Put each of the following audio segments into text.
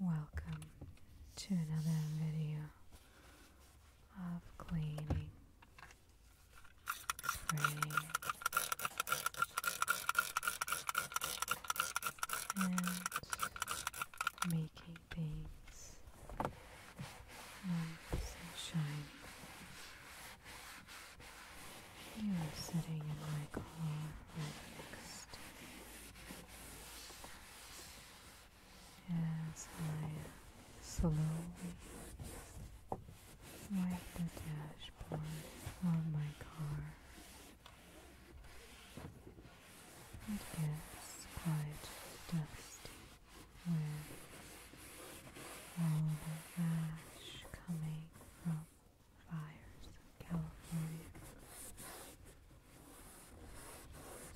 Welcome to another video of cleaning free and making things nice shiny. You are sitting in my car next as I slowly wipe the dashboard of my car. It gets quite dusty with all the ash coming from fires California.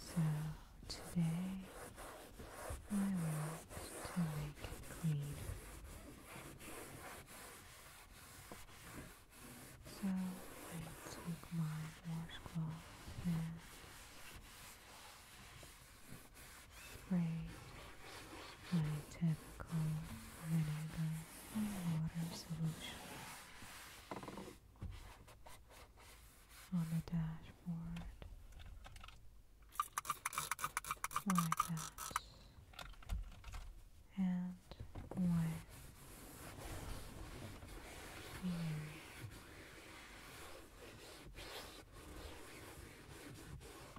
So today I want to make it clean. So I took my washcloth and sprayed my typical vinegar and water solution on the dashboard like that and one here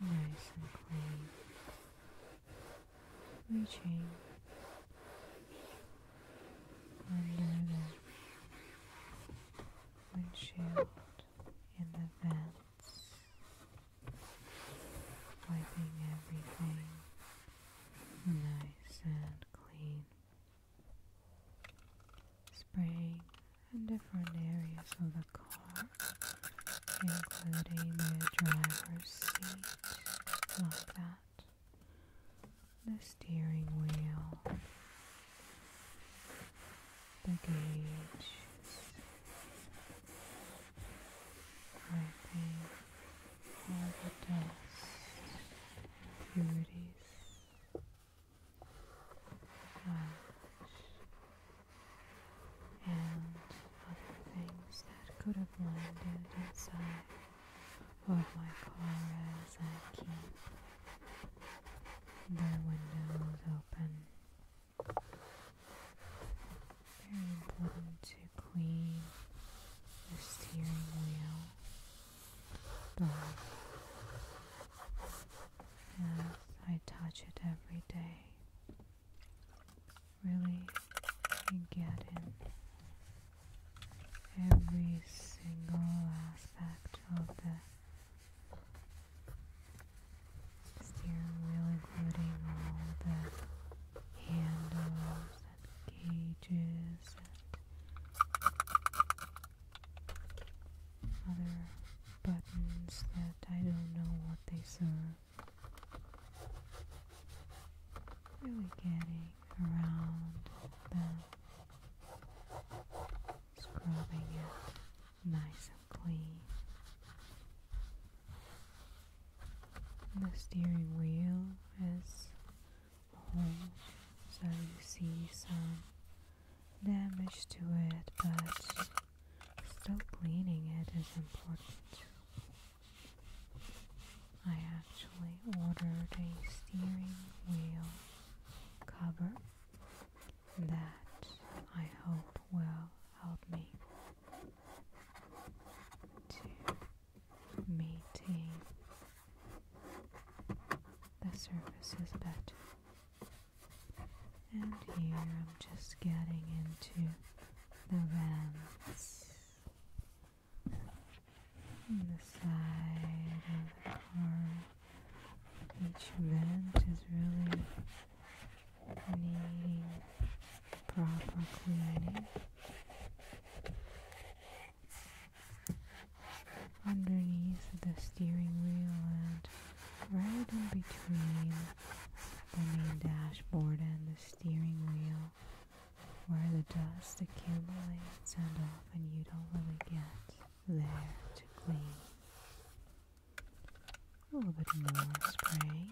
nice and clean reaching under the windshield in the vents, wiping everything nice and clean, spraying in different areas of the car, including the driver's seat, like that the steering wheel, the gauge. Wiping all the dust, impurities out and other things that could have landed inside of my car as I keep the windows open. Very important to clean the steering wheel, but as I touch it every day really get in every single aspect of the steering wheel, including all the handles and gauges and other buttons that I don't know what they serve. Really getting around them, scrubbing it nice and clean. The steering wheel is a so you see some damage to it, but still cleaning it is important. I actually ordered a steering wheel cover that I hope will help me to maintain the surfaces better. And here I'm just getting into the vents on the side of the car. Each vent is really needing proper cleaning. Underneath the steering wheel and right in between the main dashboard and the steering wheel where the dust accumulates and often you don't really get there to clean. A little bit more spray,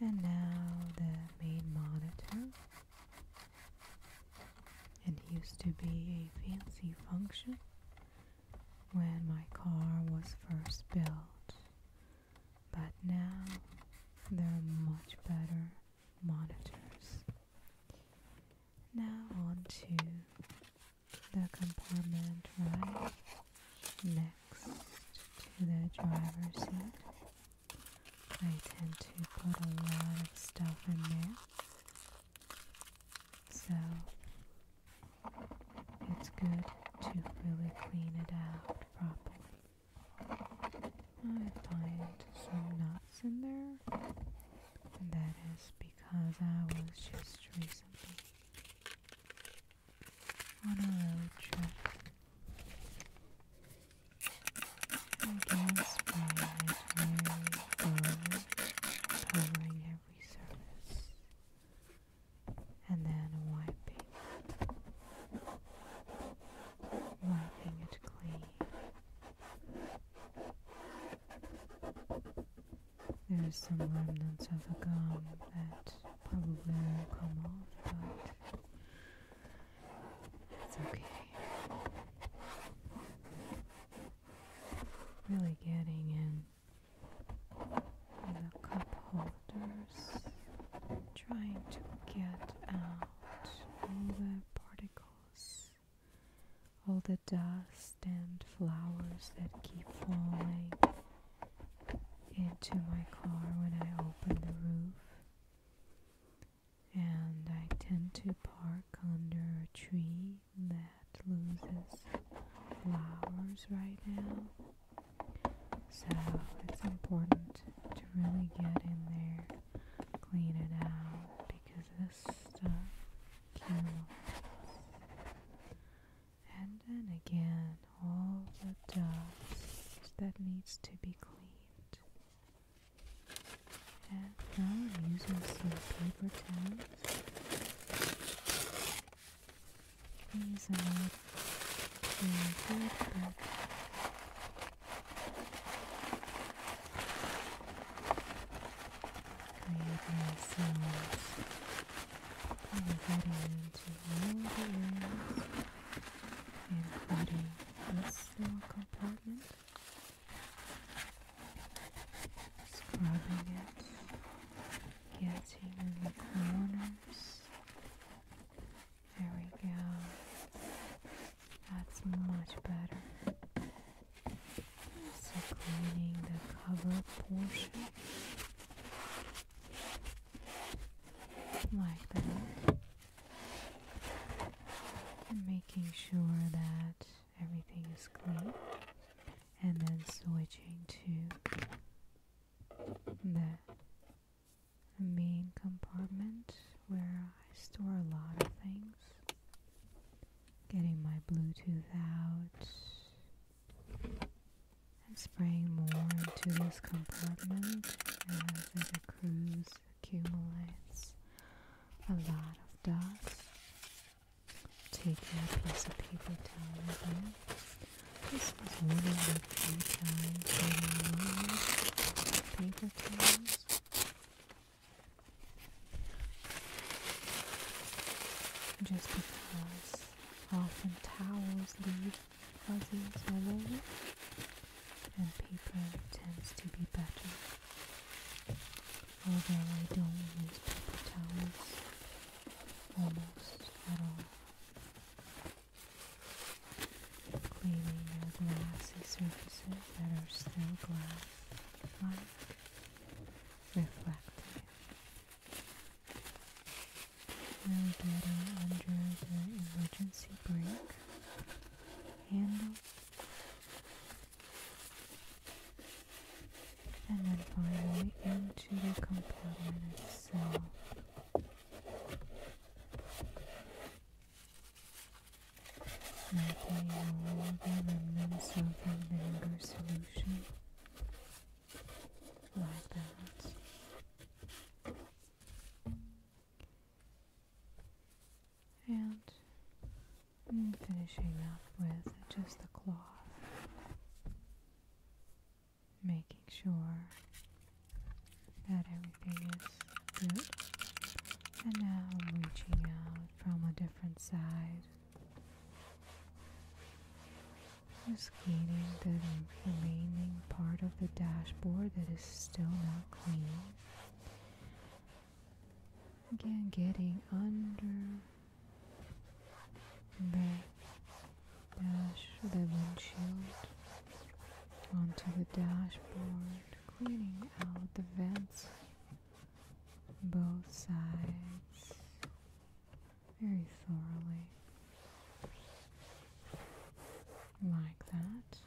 And now the main monitor. It used to be a fancy function when my car was first built but now there are much better monitors. Now on to the compartment right next to the driver's seat. I tend to put a lot of stuff in there. So it's good to really clean it out properly. I find some knots in there, that is because I was just recently on a road trip. I guess mine is covering every surface and then wiping, wiping it clean. There's some remnants of a gum that probably will not come off, but that's okay. Really getting in the cup holder trying to get out all the particles, all the dust and flowers that keep falling into my car when I open the roof. And I tend to park under a tree that loses flowers right now. So it's important to really get in there, clean it out, because this stuff kills. And then again, all the dust that needs to be cleaned. And now I'm using some paper towels. These are in good book. Creating sounds and getting into all the including this little compartment. Scrubbing it, getting in corners. There we go. That's much better. cleaning the cover portion like that. And making sure that everything is clean. And then switching to the main compartment where I store a lot of things. Getting my Bluetooth out and spraying more into this compartment as the cruise accumulates a lot of dust. Taking a piece of paper towel with this was one of the few times I used paper towels. Just because often towels leave fuzzies all and paper tends to be better. Although I don't use paper towels almost at all. Cleaning the glassy surfaces that are still glass-like, reflecting. Now getting under the emergency brake handle and then finally into the compartment itself. Making all the remnants of the vinegar solution like that. And finishing up with just the cloth making sure that everything is good. And now I'm reaching out from a different side. Just cleaning the remaining part of the dashboard that is still not clean. Again, getting under back dash the windshield onto the dashboard, cleaning out the vents both sides very thoroughly. Like that.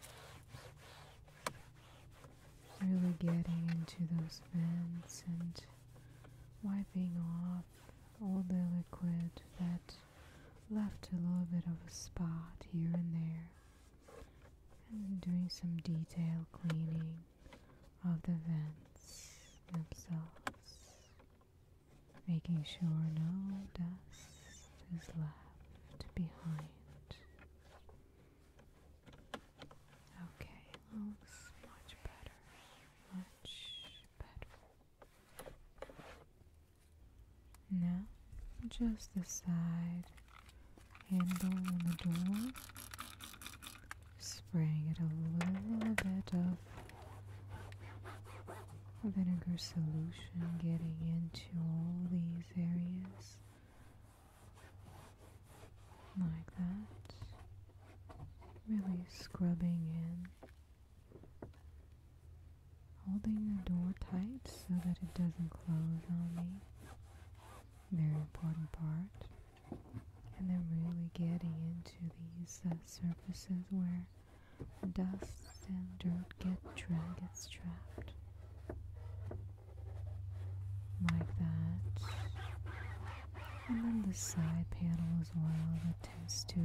Really getting into those vents and wiping off all the liquid that left a little bit of a spot here and there and doing some detail cleaning of the vents themselves making sure no dust is left behind Okay, looks much better, much better. Now, just the side handle on the door, spraying it a little bit of vinegar solution getting into all these areas like that really scrubbing in Holding the door tight so that it doesn't close on me. Very important part. And then really getting into these uh, surfaces where dust and dirt get tra- gets trapped. Like that. And then the side panel as well that tends to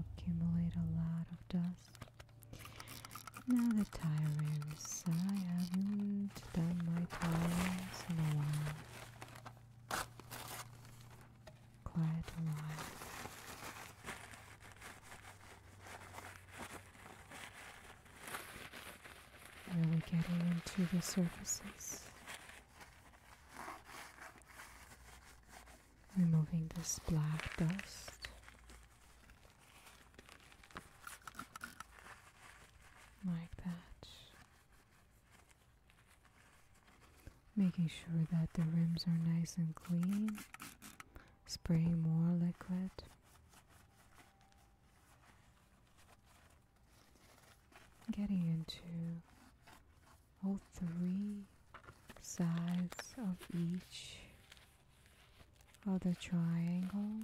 accumulate a lot of dust. Now the tires. I haven't done my tires in a while. Quiet a while. Really getting into the surfaces removing this black dust. Like that. Making sure that the rims are nice and clean. Spraying more liquid getting into all three sides of each of the triangle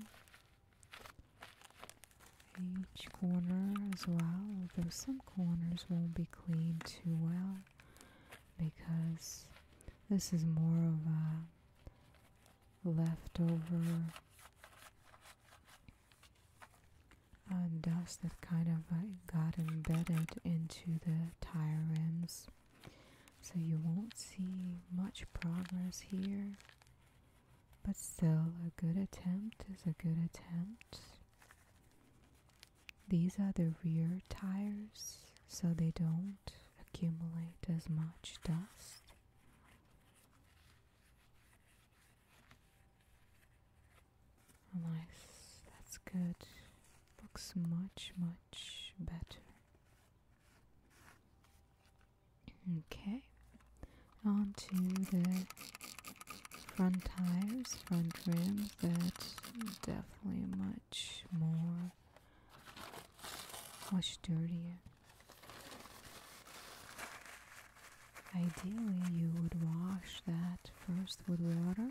each corner as well although some corners won't be cleaned too well because this is more of a leftover uh, dust that kind of uh, got embedded into the tire rims so you won't see much progress here but still a good attempt is a good attempt these are the rear tires so they don't accumulate as much dust nice, that's good. Looks much, much better. Okay, onto the front tires, front rim. that's definitely much more, much dirtier. Ideally, you would wash that first with water,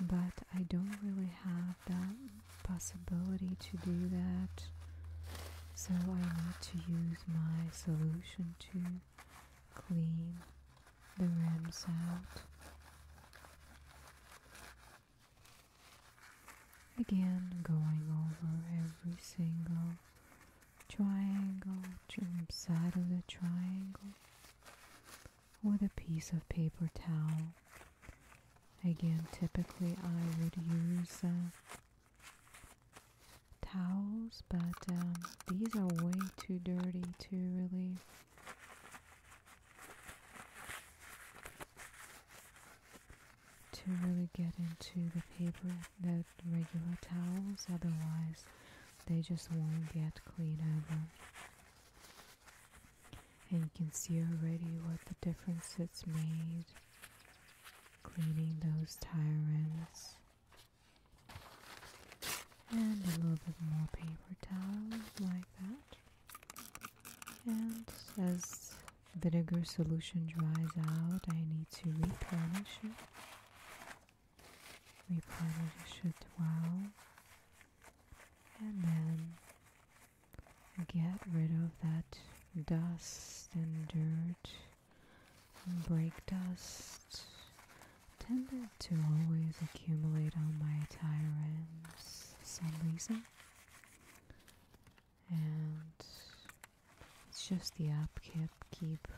but I don't really have that possibility to do that, so I need to use my solution to clean the rims out. Again, going over every single triangle side of the triangle with a piece of paper towel. Again, typically I would use uh, towels, but um, these are way too dirty to really to really get into the paper that regular towels, otherwise they just won't get clean ever. And you can see already what the difference it's made cleaning those tyrants. And a little bit more paper towels like that. And as vinegar solution dries out, I need to replenish it. We probably should dwell, and then get rid of that dust and dirt and brake dust tended to always accumulate on my tire ends for some reason and it's just the app keep.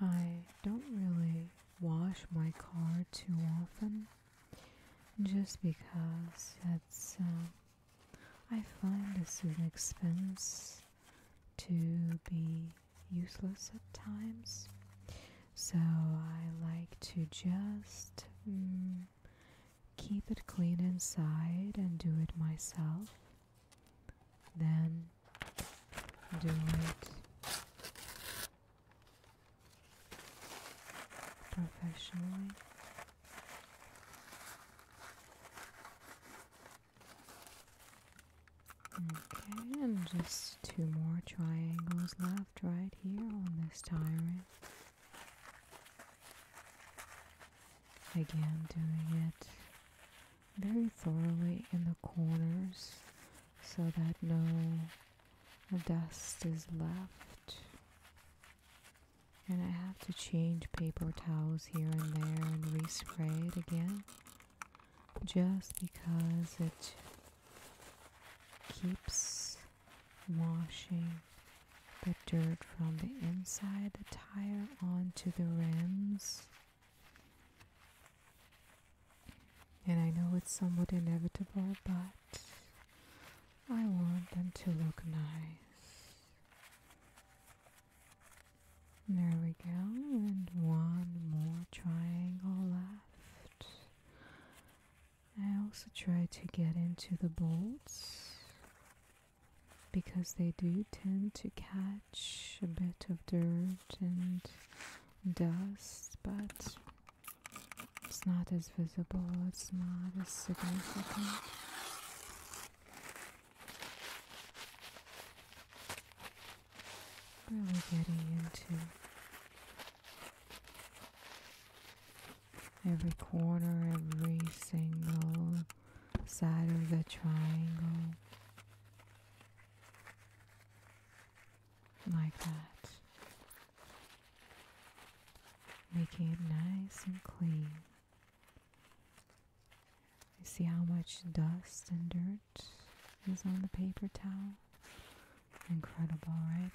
I don't really wash my car too often just because it's um, I find this an expense to be useless at times so I like to just mm, keep it clean inside and do it myself, then do it professionally. Okay, and just two more triangles left right here on this diary. Again, doing it very thoroughly in the corners so that no dust is left. And I have to change paper towels here and there and respray it again just because it keeps washing the dirt from the inside the tire onto the rims. And I know it's somewhat inevitable, but I want them to look nice. There we go, and one more triangle left. I also try to get into the bolts because they do tend to catch a bit of dirt and dust, but it's not as visible, it's not as significant. Really getting into every corner, every single side of the triangle. Like that. Making it nice and clean. You see how much dust and dirt is on the paper towel? Incredible, right?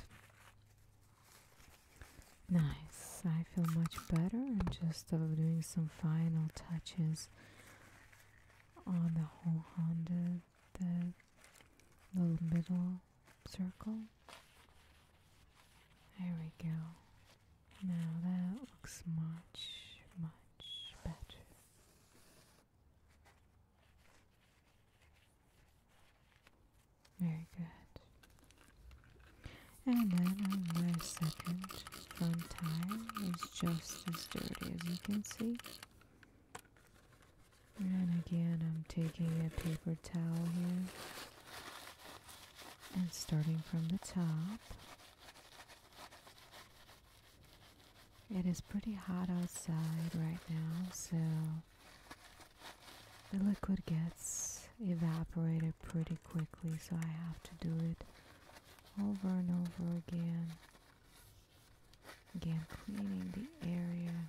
Nice, I feel much better. i just of doing some final touches on the whole Honda, the little middle circle. There we go. Now that looks much, much better. Very good. And then my second front tire is just as dirty as you can see. And again, I'm taking a paper towel here and starting from the top. It is pretty hot outside right now, so the liquid gets evaporated pretty quickly so I have to do it over and over again again cleaning the area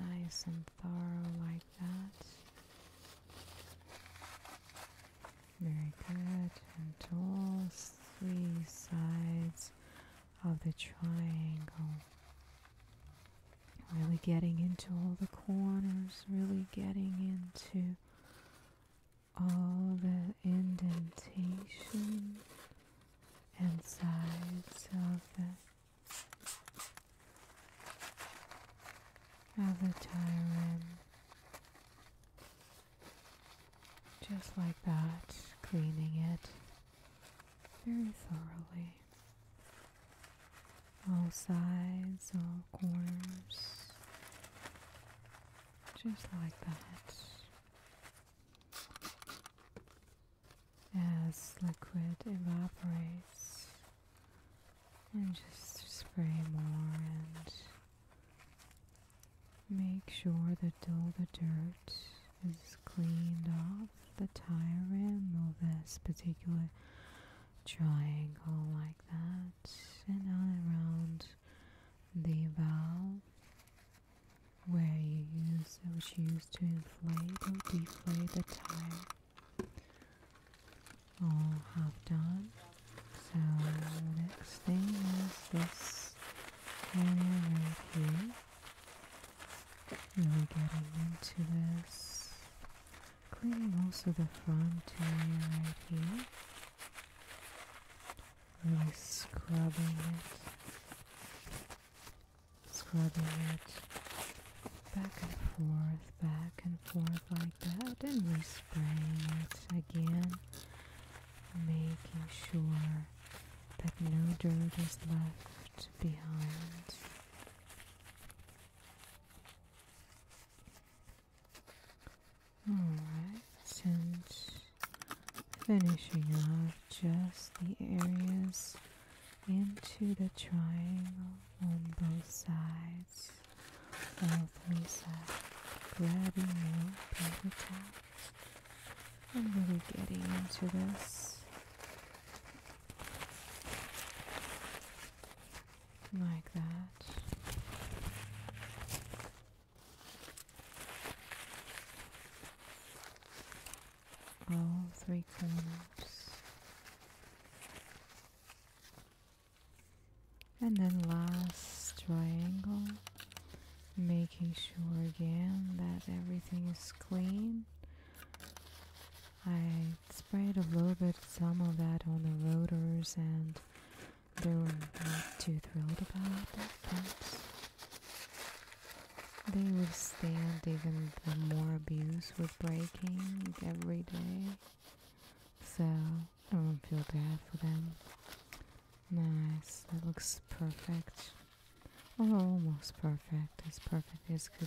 nice and thorough like that very good and all three sides of the triangle Really getting into all the corners, really getting into all the indentation and sides of the, of the tire Just like that, cleaning it very thoroughly all sides, all corners, just like that. As liquid evaporates, and just spray more and make sure that all the dirt is cleaned off the tire rim of this particular triangle like that and all around the valve where you use it was used to inflate or deflate the tire all have done so next thing is this area right here and we're getting into this Cleaning also the front area right here. Really scrubbing it. Scrubbing it back and forth, back and forth like that. And we spray it again. Making sure that no dirt is left behind. Alright, since finishing off just the areas into the triangle on both sides, all three sides, grabbing more paper towels. I'm really getting into this. Like that. All oh, three corners. And then last triangle, making sure again that everything is clean I sprayed a little bit some of that on the rotors and they were not too thrilled about it, but they withstand even the more abuse with braking every day. So I don't feel bad for them. Nice, that looks perfect. Oh, almost perfect, as perfect as could